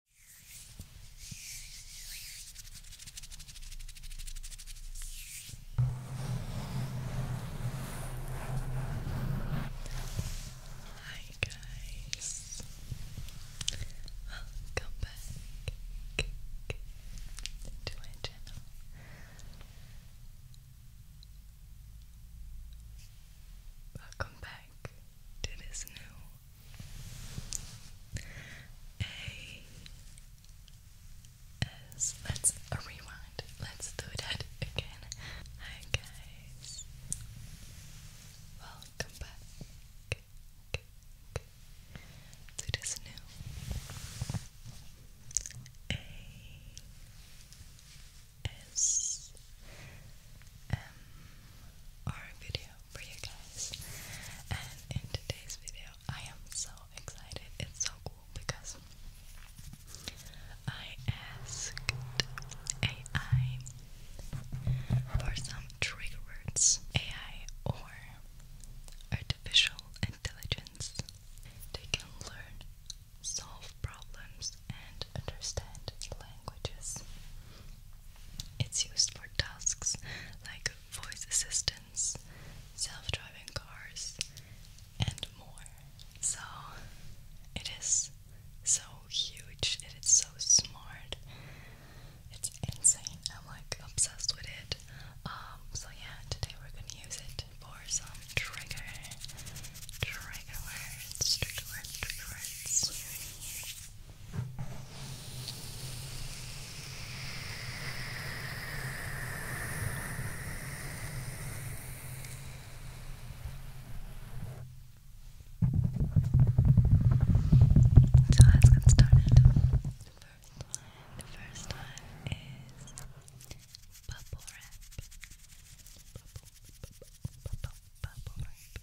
Hi guys, welcome back to my channel. Welcome back to this new a S. Let's rewind. Let's do that again. Hi guys. Welcome back to this new A S M R video for you guys. And in today's video, I am so excited. It's so cool because I asked AI for some trigger words. AI or artificial intelligence. They can learn, solve problems, and understand languages. It's used for tasks like voice assistance, self-driving cars, and more. So it is so huge, it is so smart. It's insane. I'm like obsessed with it. Um, so yeah, today we're gonna use it for some trigger, trigger words, trigger words. So let's get started. First one, the first one is bubble wrap. Bubble, bubble, bubble, bubble wrap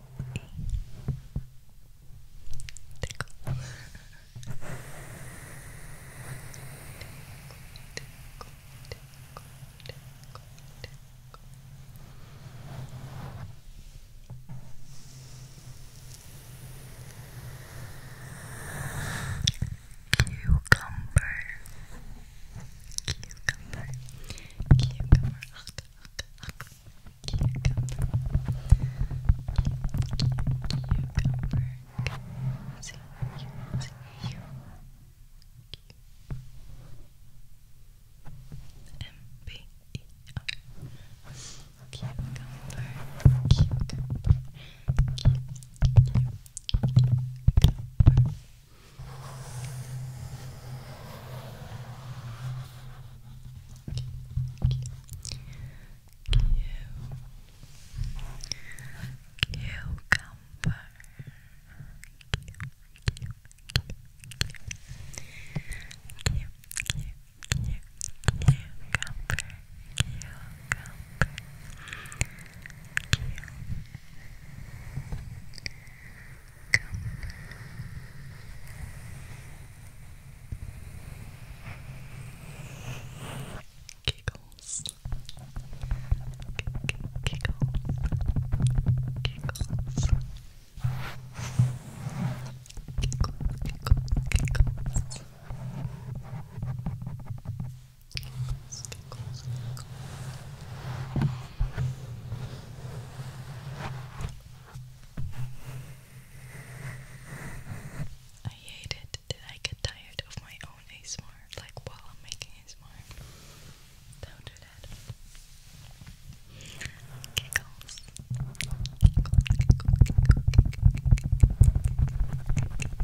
Tickle. Tickle, Cucumber, cucumber, cucumber, huck, huck, huck, Cucumber. Cucumber. C -U -C -U. M -B -E -R. Cucumber. Cucumber. Cucumber. Cucumber. Cucumber. Cucumber. Cucumber. Giggles. Giggles. Giggles. Giggle, giggle, giggles. Giggles, giggles, giggles. Giggles, I hate it that I get tired of my own ASMR, like while I'm making ASMR. Don't do that. Giggles. Giggles, giggles, giggles, giggles. Giggles.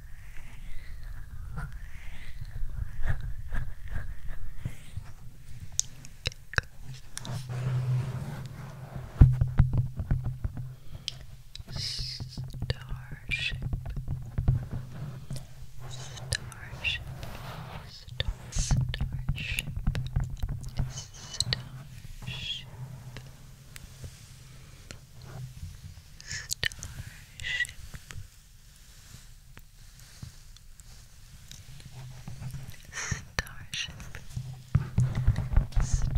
Starship, starship, star, starship, starship. Starship, Starship. Starship. Starship.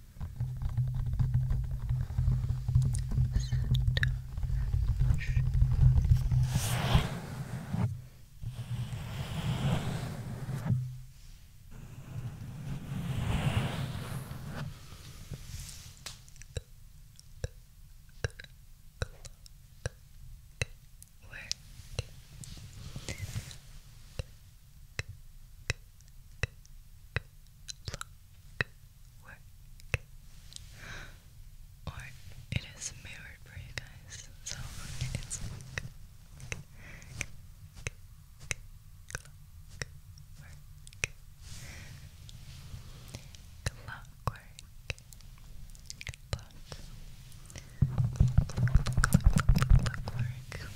Work work. Or it is mirrored for you guys, so it's work. Clockwork. Clockwork. Clock. Clock, clock, clock, clockwork.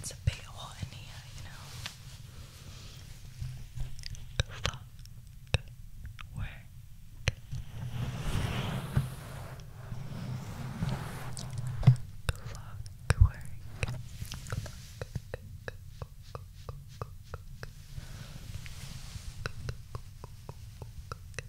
It's a big hole in here, you know. Fuck work. Fuck work.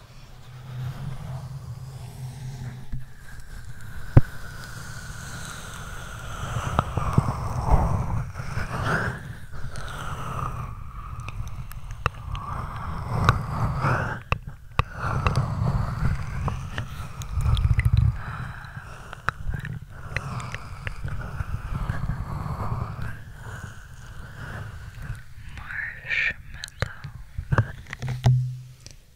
Marshmallow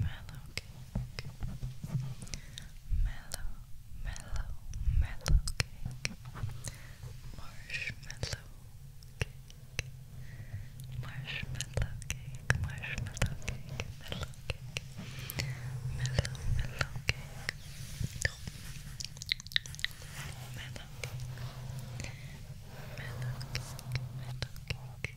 mellow cake mellow, mellow, mellow cake marshmallow cake marshmallow cake, marshmallow cake, mellow cake mellow, mellow cake mellow mellow cake, mellow cake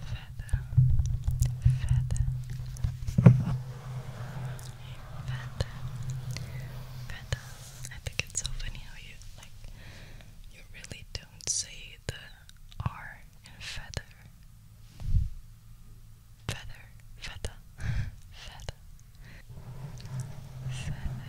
feather, feather, feather, I think it's so funny how you like you really don't say the R in feather. Feather, feather, feather, feather, feather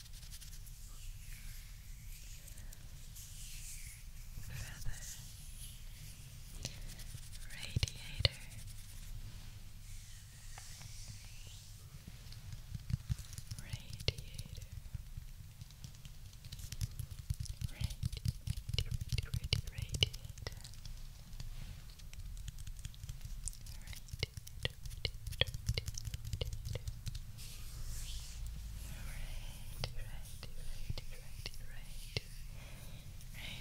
feather, radiator. Radiator. Radiator, radiator, radiator. Radiator, radiator, radiator,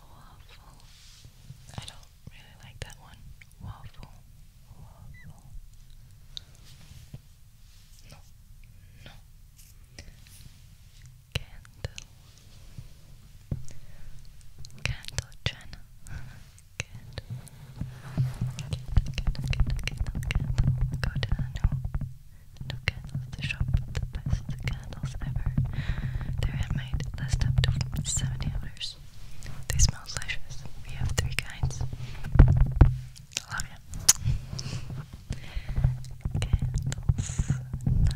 Waffle. I don't really like that one. Waffle. Waffle. No. No. Candle. Candle Jenna. Candle. Candle, candle, candle, candle, Go to no. No candles to shop, the best candles ever. They're handmade, last up to seventy dollars. They smell delicious. We have three kinds. Love ya. Candles, no,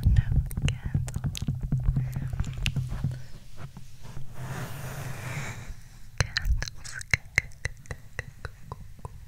no candles. Candles, candles, candles, candles,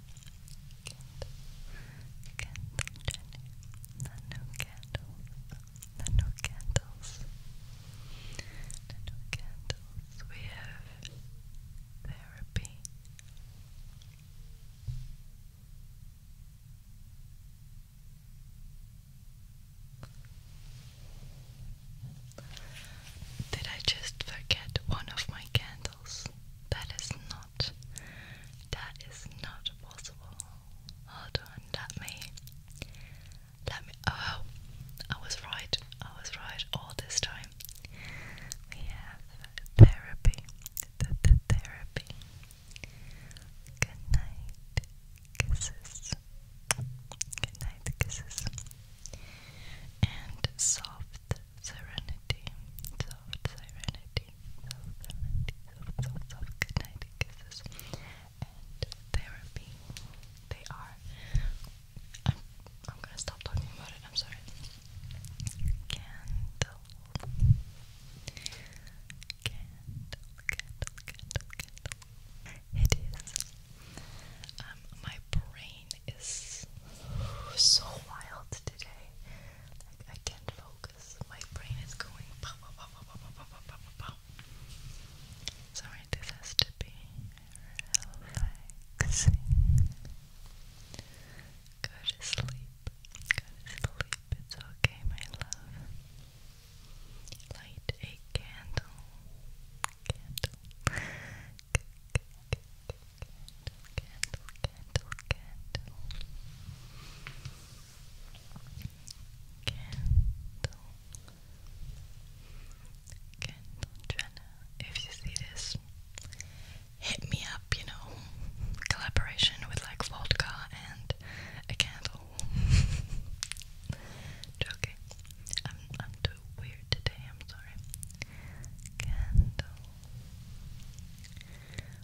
Candle Jenny. The new candles. The new candles. The new candles. We have therapy. Did I just forget one of my candles? That is not. That is not possible. Hold on. Let me. Let me. Oh, I was right. I was right all this time. We have therapy. the therapy. Good night. Kisses. Good night. Kisses. And soft serenity. Soft serenity plenty of goodnight kisses and therapy. They are. I'm, I'm gonna stop talking about it, I'm sorry. Candle, candle, candle, candle. It is. Um, my brain is so wild today. I can't focus. My brain is going Sorry, this has to be relaxing. Go to sleep. Go to sleep. It's okay, my love. Light a candle. Candle candle, candle, candle, candle. Candle. Candle, Jenna. If you see this, hit me up, you know. Collaboration with like vodka and a candle. Joking. I'm I'm too weird today, I'm sorry. Candle.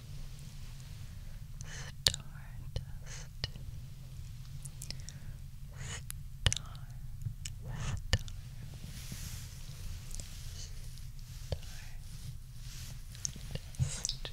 Stardust Star Star Stardust Stardust Stardust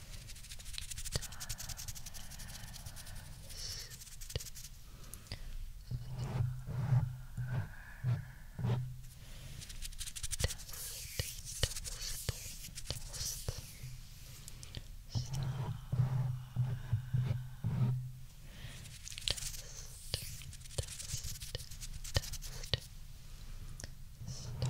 Dust, dust, dust, dust, dust, dust, dust, dust, dust Dust. I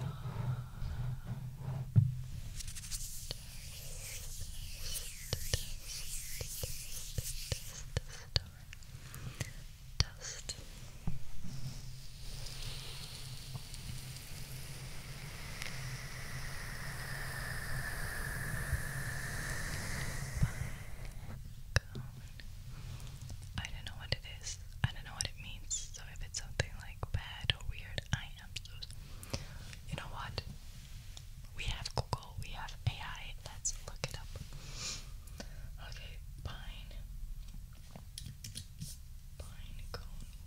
don't know what it is. I don't know what it means. So if it's something like like bad or weird. I am so. You know what? We have Google, we have AI. Let's look it up. Okay, pine. Pine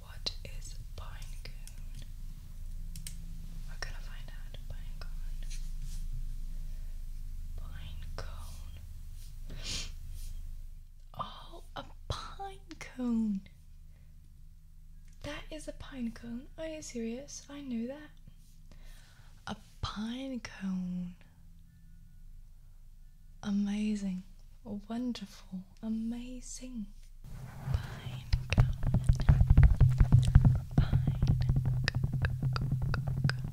What is pine We're gonna find out. Pine cone. Oh, a pine cone. That is a pine cone. Are you serious? I knew that. A pine cone. Amazing. Wonderful. Amazing. Pine cone. Pine cone.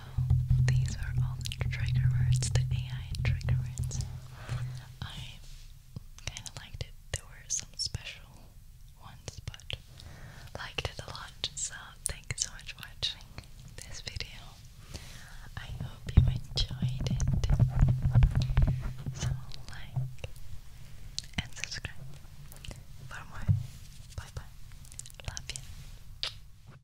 these are all the trigger words, the AI trigger words. I kind of liked it. There were some special ones, but liked it a lot. So thank you so much for watching this video. I hope you enjoyed it. So like and subscribe for more. Bye bye. Love you.